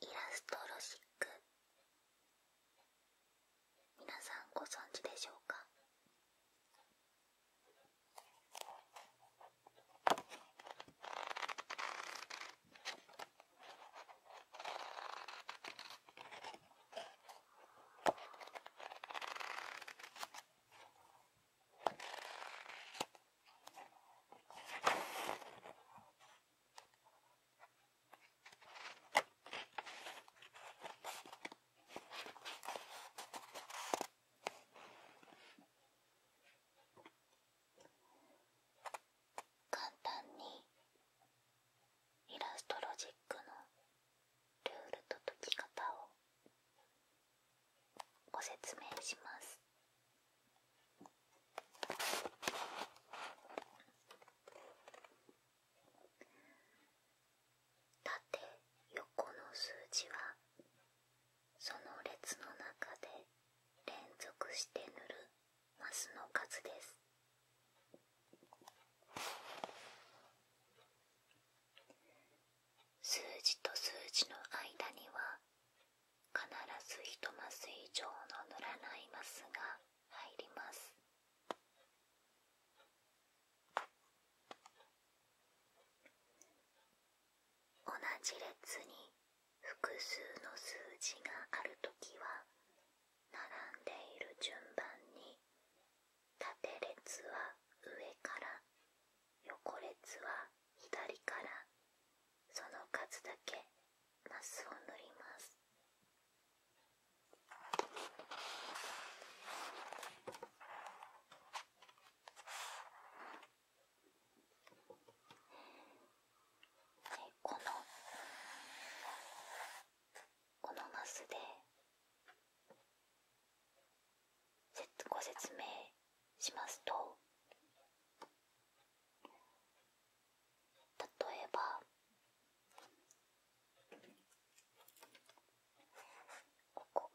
イラストロシック皆さんご存知でしょうか簡単にイラストロジックのルールと解き方をご説明します。縦横の数字はその列の中で連続して塗るマスの数です数字と数字の間には必ず1マス以上の塗らないマスが入ります同じ列に複数の数字があるときは並んでいる順番に縦列は上から横列は左からその数だけマスを塗ります。このこのマスでご説明しますと例えばここ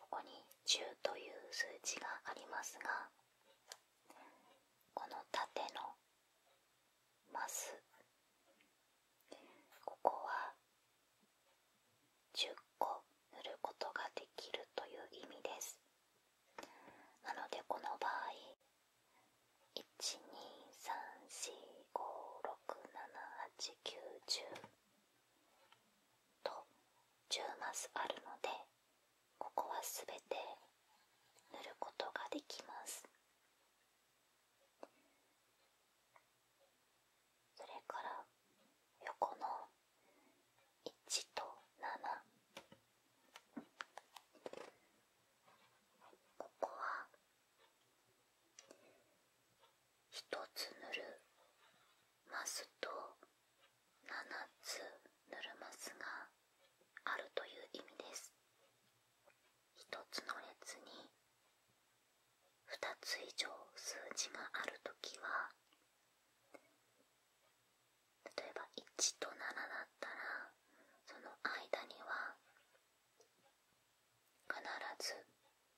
ここに10という数字がありますがこの縦のマスここは10個塗ることができるという意味ですなのでこの場合1 2 3 4 5 6 7 8 9 10と10マスあるのでここは全て塗ることができますそれから横の1と7ここは1つ塗るますと7つ塗るますがあるという意味です1つの列に2つ以上数字があるときは例えば1と7だったらその間には必ず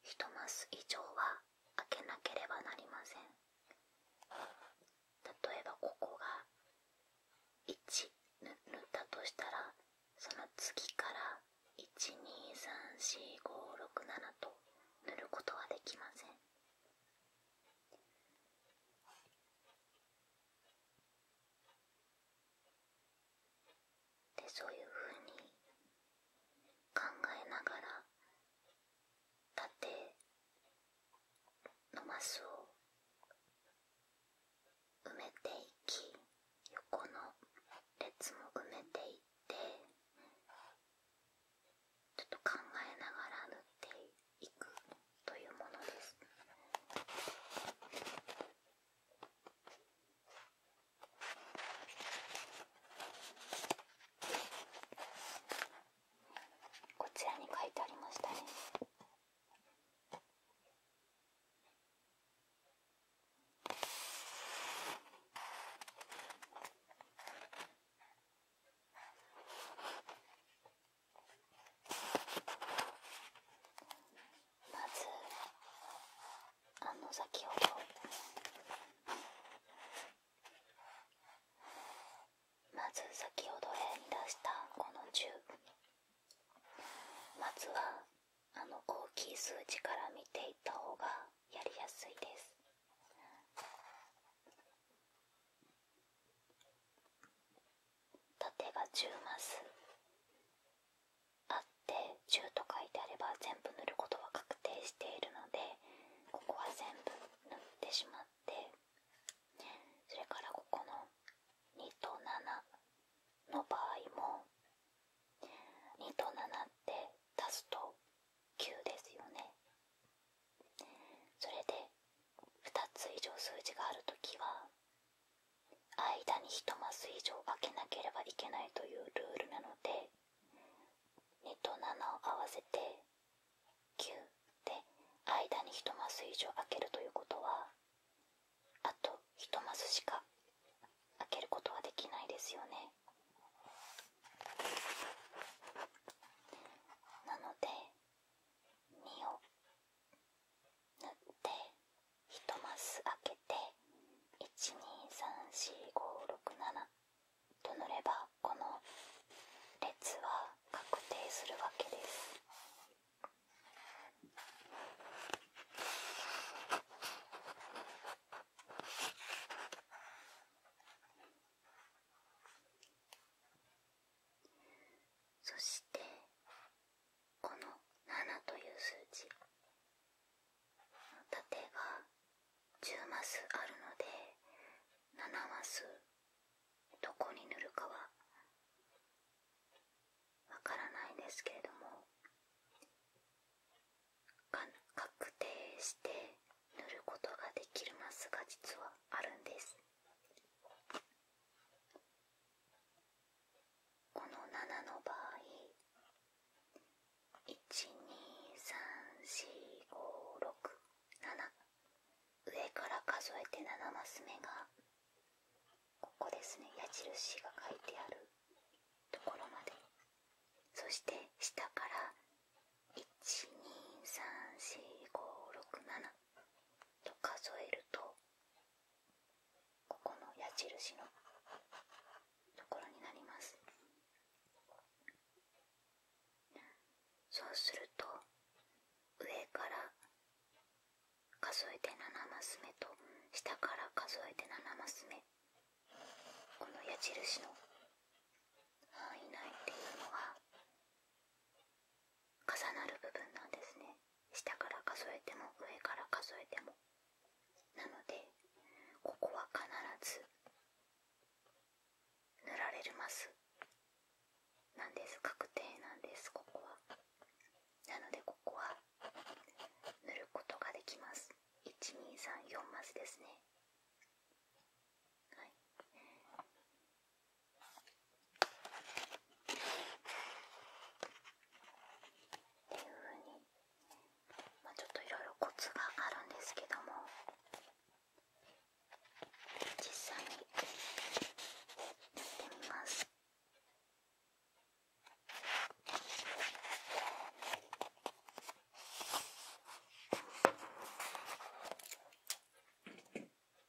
1マス以上は開けなければなりません例えばここが1塗ったとしたらその次から1234567と塗ることはできませんでそういうふうに考えながら縦のマスを埋めていき横の列も埋めていってちょっと考えながら塗っていく。というものです。こちらに書いてありましたね。まずあの先ほどまず先ほどへ出したこの10まずはあの大きい数字から見ていった方がやりやすいです縦が10マスあって10と書いてあれば全部塗ることは確定しているのでここは全部塗ってしまってそれからここの2と7の場合も2と7って足すと9ですよねそれで2つ以上数字がある時は間に1マス以上開けなければいけないというルールなので2と7を合わせて9で間に1マス以上開けるということはあと1マスしか開けることはできないですよねなので2を塗って1マス開けて1234567と塗ればこの列は確定するわけです。そしてこの7という数字縦が10マスあるので7マスどこに塗るかはわからないんですけれども確定して塗ることができるマスが実はあるんですこの7の場合1234567上から数えて7マス目がここですね矢印が書いてあるところまでそして下から1234567と数えるとここの矢印のところになりますそうすると上から数えて7マス目と下から数えて7マス目この矢印の範囲内っていうのは重なる部分なんですね下から数えても上から数えてもなのでここは必ず塗られるますなんです確定なんですここはなのでここは塗ることができます1234マスですねはいっていうふうに、まあ、ちょっといろいろコツがあるんですけども実際にやってみます。こ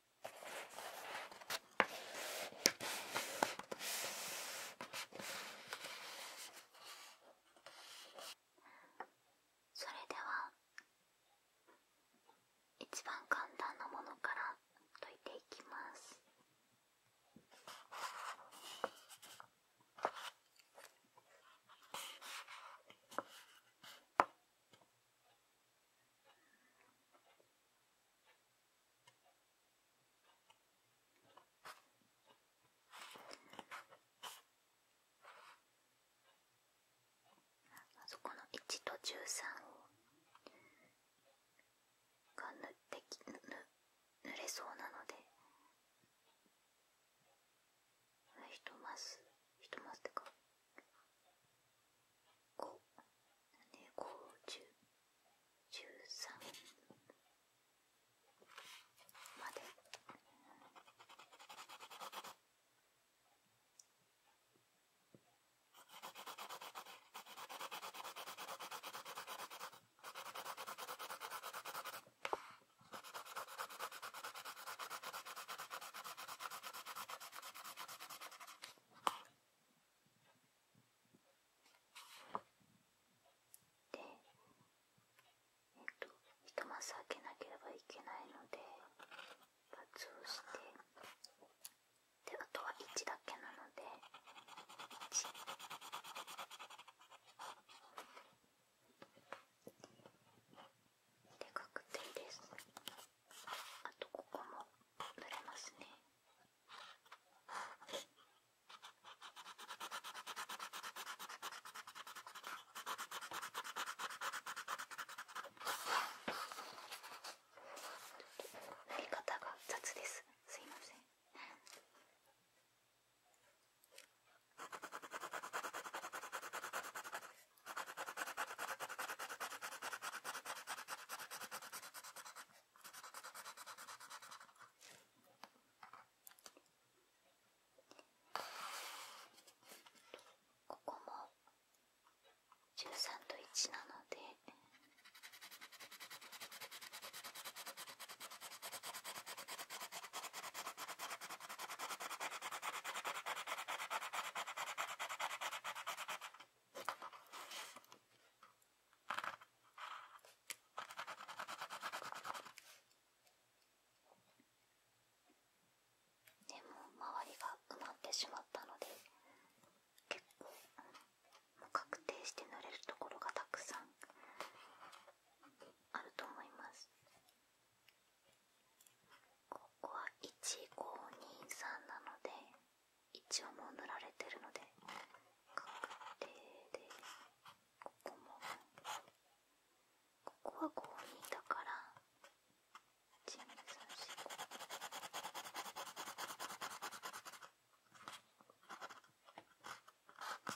それでは一番簡単なものから解いていきます。あそこの1と13が塗っきぬぬれそうなので1マス1マスってか5ね五十十三まで。でえっと一マス開けなければいけないので×押してであとは1だけなので1。で確定ですあとここも塗れますね塗り方が雑です。すいません。ここも13と1なので。でも周りが埋まってしまったので結構、もう確定して塗れるところがたくさんあると思いますここは152 3なので。一応もう塗られてるので確定でここもここはこ5いだから1 2 3 4 5こ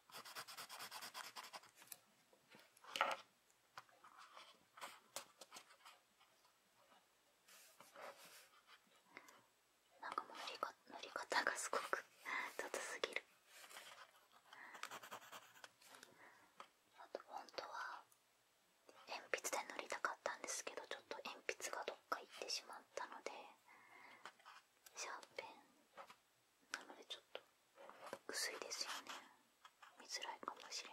なんかもう塗りか塗り方がすごく雑すぎるあと本当は鉛筆で塗りたかったんですけどちょっと鉛筆がどっか行ってしまったのでシャーペンなのでちょっと薄いですよね見づらいかもしれない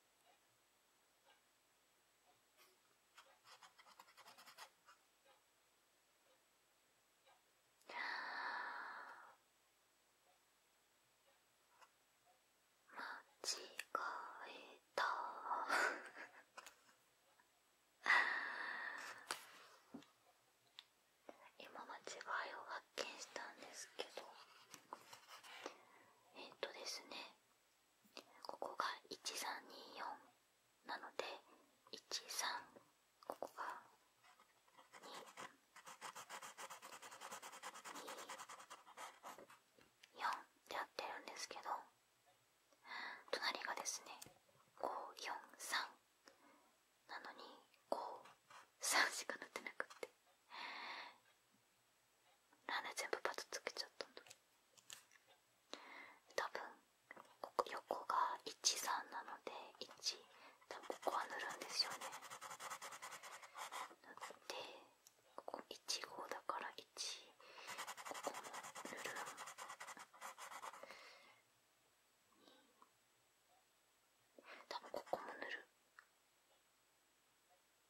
間違えた 今間違いを発見したんですけどえっ、とですねここが1324なので13ここが224ってやってるんですけど隣がですね543なのに53しかなってなくってなんで全部パタつけちゃったんだ多分ここ横が13なので1多分ここは塗るんですよね塗ってここ15だから1ここも塗る多分ここも塗る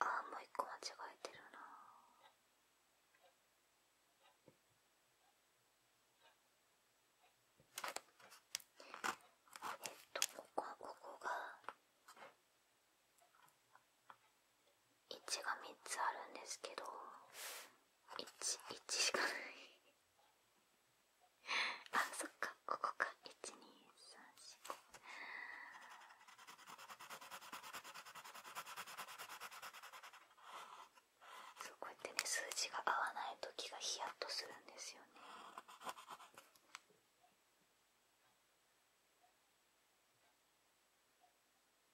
ああもう一個間違えてるなえっとここここが1が3つあるんですけど11しかない あそっかここか12345そうこうやってね数字が合わない時がヒヤッとするんですよね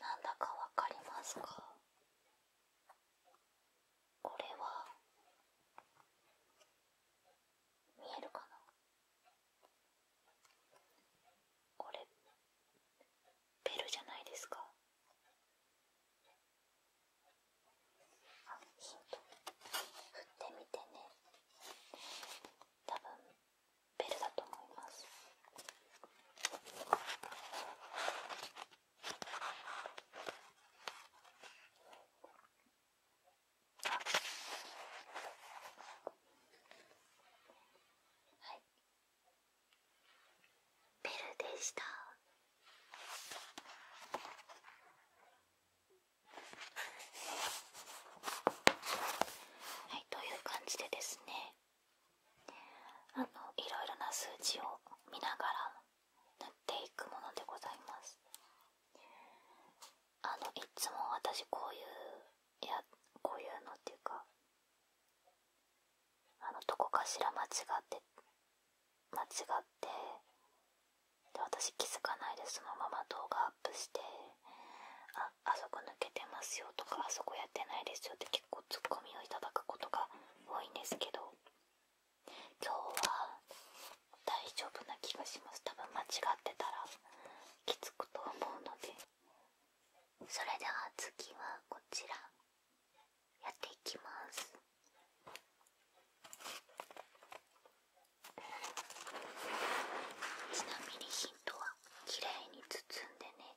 なんだかわかりますかこれは見えるかなこれベルじゃないですかあヒント振ってみてね多分ベルだと思います。はい、ベルでした。はい、という感じでですねあのいろいろな数字を見ながら塗っていくものでございますあのいつも私こういうやこういうのっていうかあのどこかしら間違って間違ってで私気づかないでそのまま動画アップしてああそこ抜けてますよとかあそこやってないですよって結構ツッコミをいただくことが多いんですけど今日は大丈夫な気がします多分間違ってたらきつくと思うのでそれでは次はこちらやっていきますちなみにヒントは綺麗に包んでね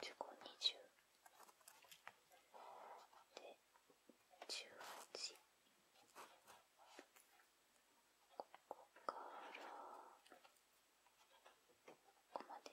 1520で18ここからここまで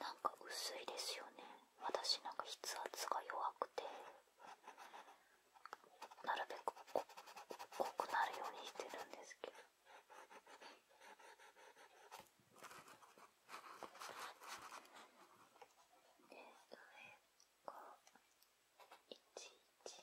なんか薄いですよね私なんか筆圧が弱くてなるべくこ濃くなるようにしてるんですけどえ、上が1111。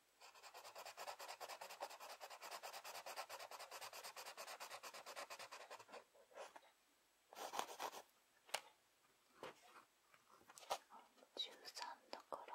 十三だから。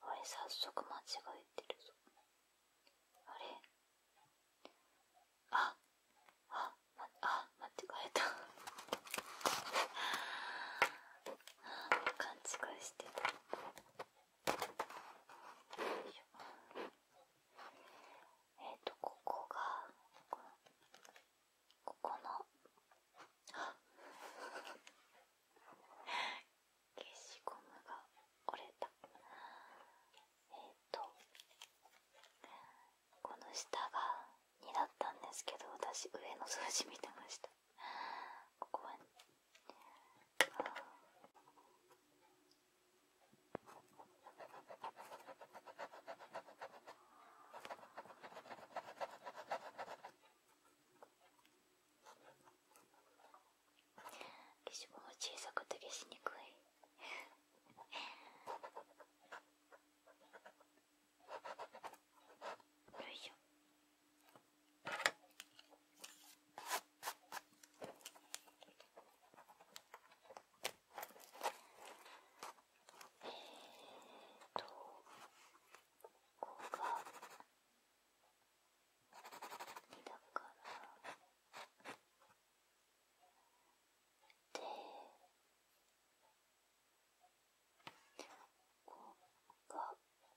あれ早速間違えてるぞあれああ、ま、あ間違えた 勘違いしてた。えっ、とここがここの 消しゴムが折れたえっ、とこの下が2だったんですけど私上の数字見てましたここはあ消しゴム小さくて消しにくい よいしょ えーとここが2だからでここが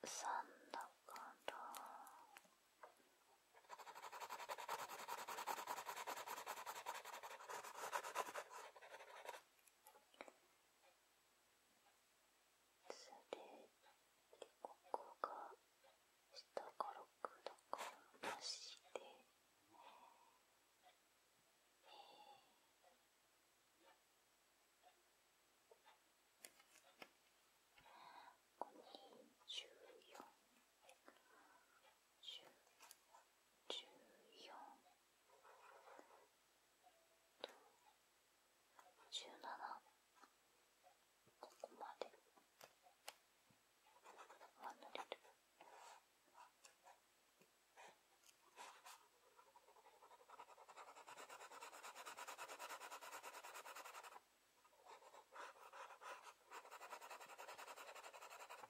3だから。それここが下からくだからなして、ええ。ここに14。ここまでは塗れる。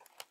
こ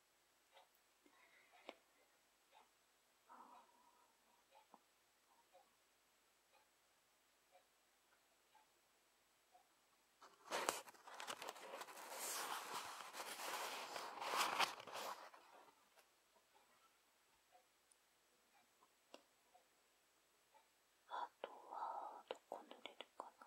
あとはどこ塗れるかな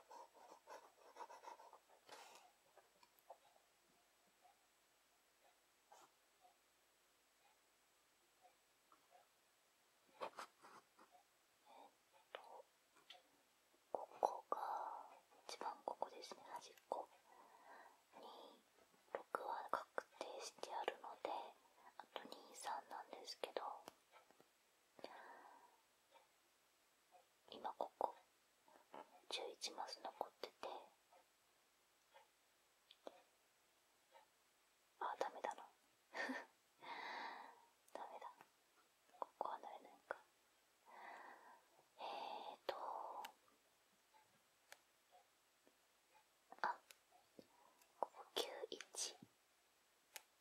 えっと、ここが一番ここですね端っこに6は確定してあるのであと23なんですけど今ここ11マス残っててあダメだな ダメだここは慣れないかえーとあここ91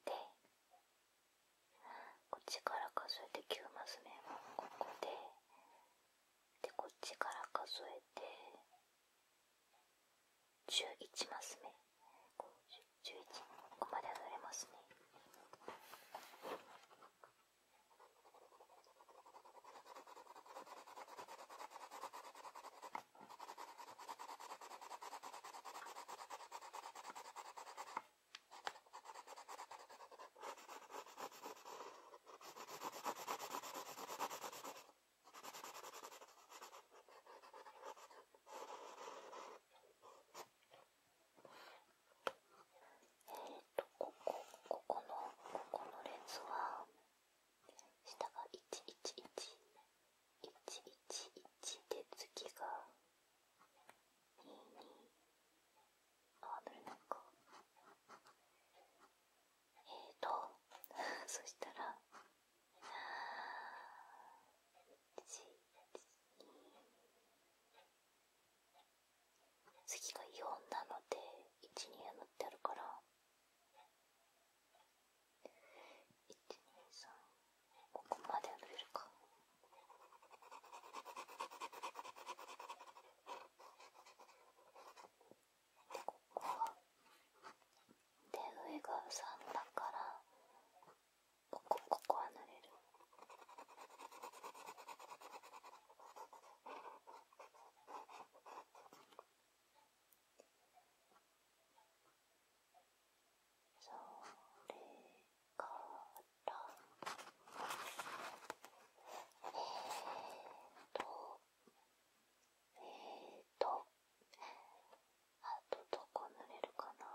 でこっちから数えて9マス目はここででこっちから数えて11マス目11ここまで上がれますねこえとここここのここの列は下が111 111で次が22あーどれなんかえーと そしたら次が4なので12塗ってあるから123ここまで伸びるかでここはで上が3だからここここは塗れるそれからえーとえーとあとどこ塗れるかな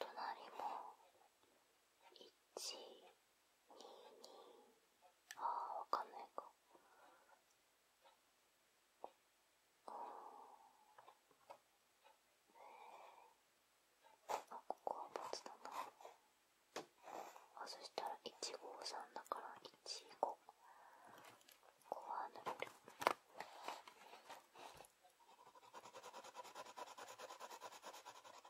隣も一ああ分かんないかうんあここはボツだなあそしたら153だから15ここは塗れる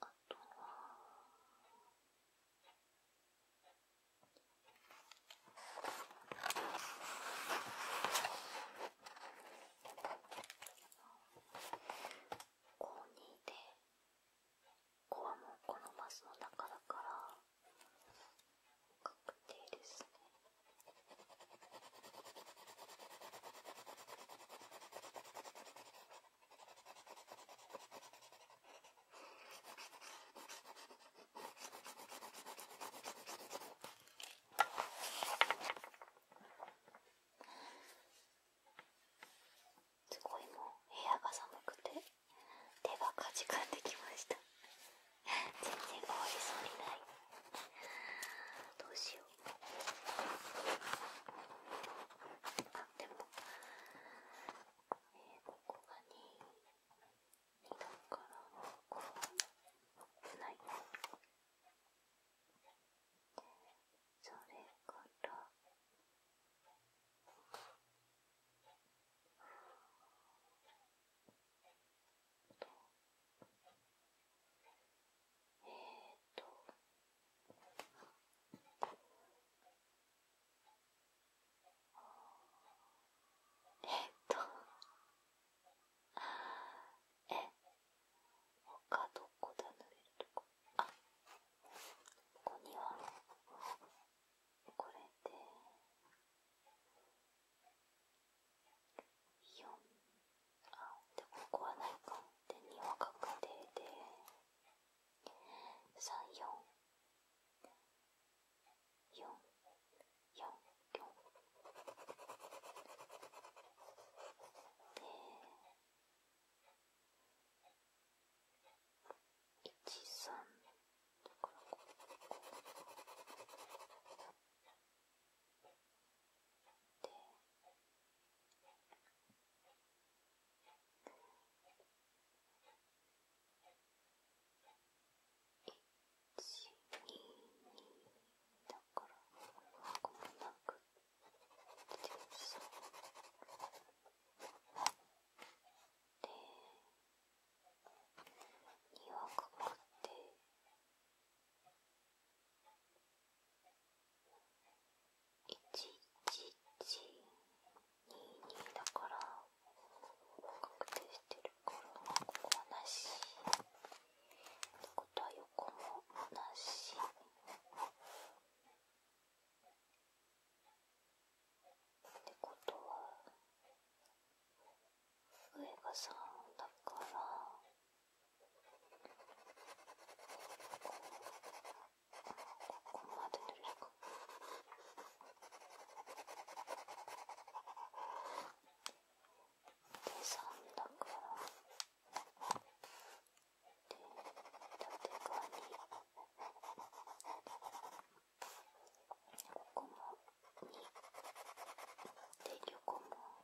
あとは高二で5はもうこのマスの中だから確定ですね。すごいもう部屋が寒くて手がかじかんできました全然終わりそうにないどうしようあでも、えー、ここが2、2だからここはないそれからえっとえっとえ他どこだ塗れるとこあここにはこれで。4あでここはないかで2は確定で344444で13だからここ。で122だからここもなくてさで2はかかって。1122だから確定してるからここはなしってことは横もなしってことは上が3だから。ここまでどれしかで3だからで縦側に2で横も。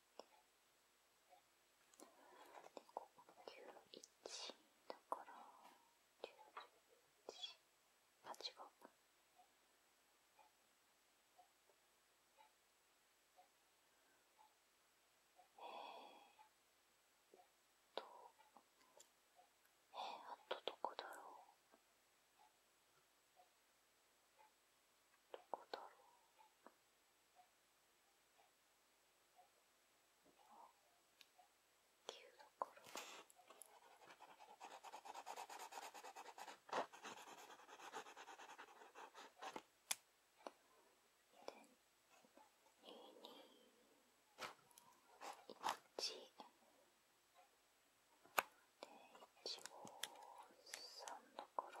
でここ91だから91あ違うえーっとえー、あとどこだろうどこだろう9だから2 2 1で153だから。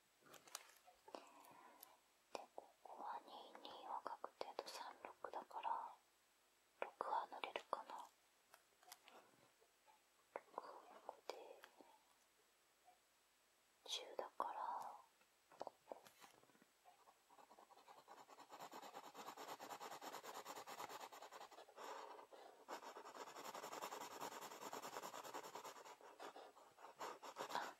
でここは2二は確定と3六だから6は乗れるかな6で10だからここ。あ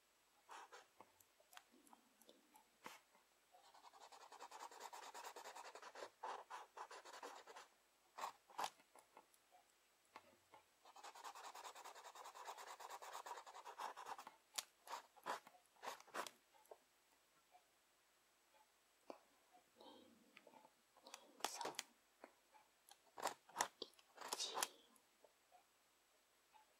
1 2 3 0 2 2 1 91だから。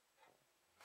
2 1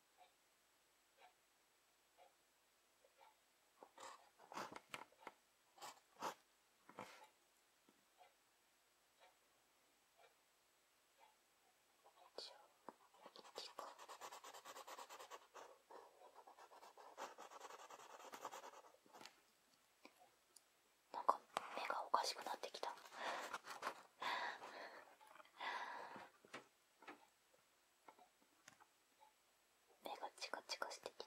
なんか目がおかしくなってきた目がチカチカしてきた。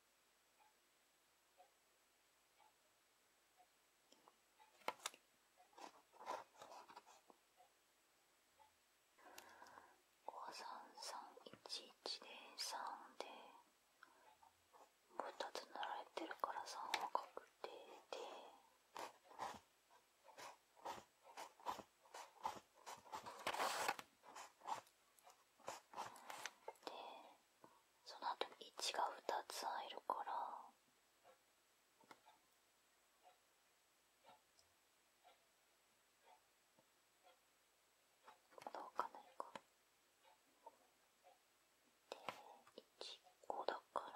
五三三一一で三でもう二つられてるから三は確定で。でその後に1が2つ入るからどうかないかで15だから。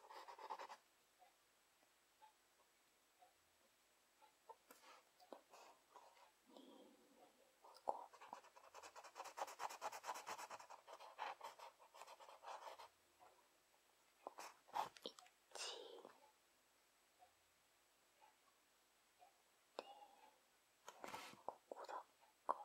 ここだか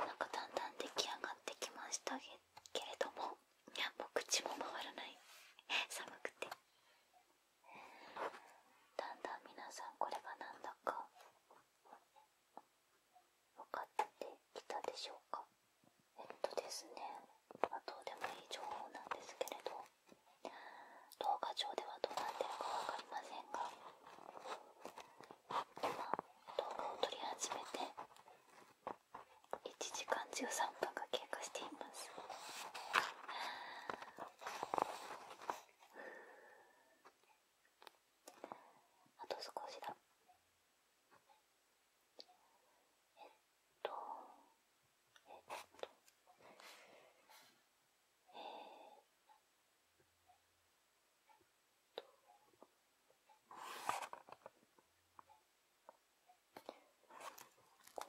なんかだんだん出来上がってきましたけれどもいやもう口も回らない寒くてだんだん皆さんこれがなんだか分かってきたでしょうかえっとですね、まあ、どうでもいい情報なんですけれど動画上ではどうなってるか分かりませんが今動画を撮り始めて1時間13分が経過していますあと少しだえっとえっとえっと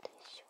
でしょう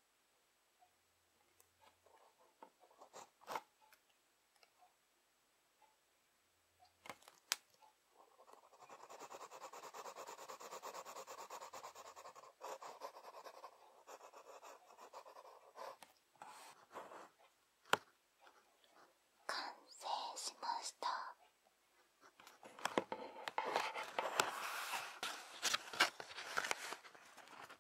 完成しました。え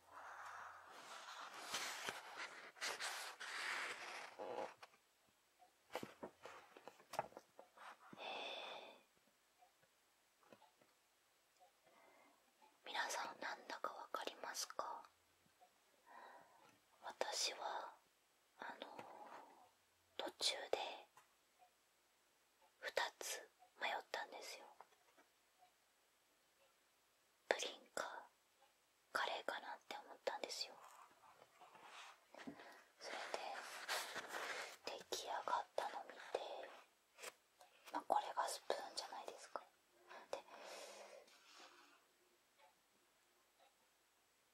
皆さんなんだかわかりますか私はあの途中で2つ迷ったんですよプリンかカレーかなって思ったんですよそれで出来上がったの見てまあこれがスプーンじゃないですかで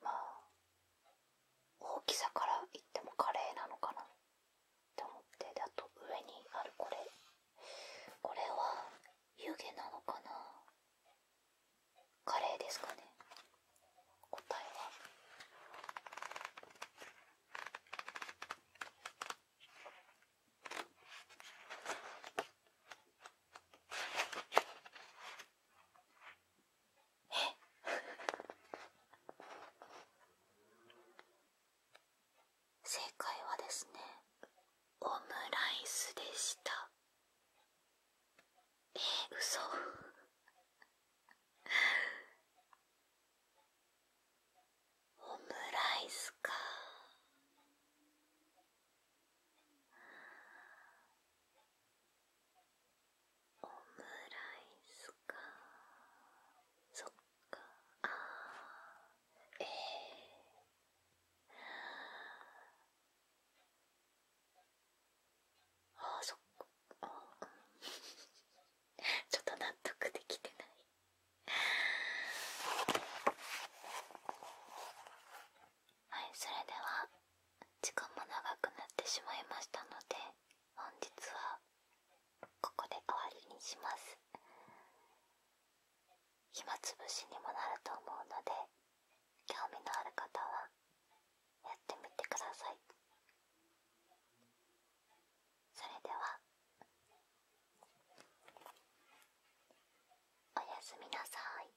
まあ大きさから言ってもカレーなのかなと思ってであと上にあるこれこれは湯気なのかなカレーですかね答えはええ正解はですねオムライスでしたえー、嘘オムライスかオムライスかそっああええああそっかちょっと納得できてないはいそれでは時間も長くなってしまいましたので本日はここで終わりにします暇つぶしにもなると思うので興味のある方はやってみてくださいそれではおやすみなさい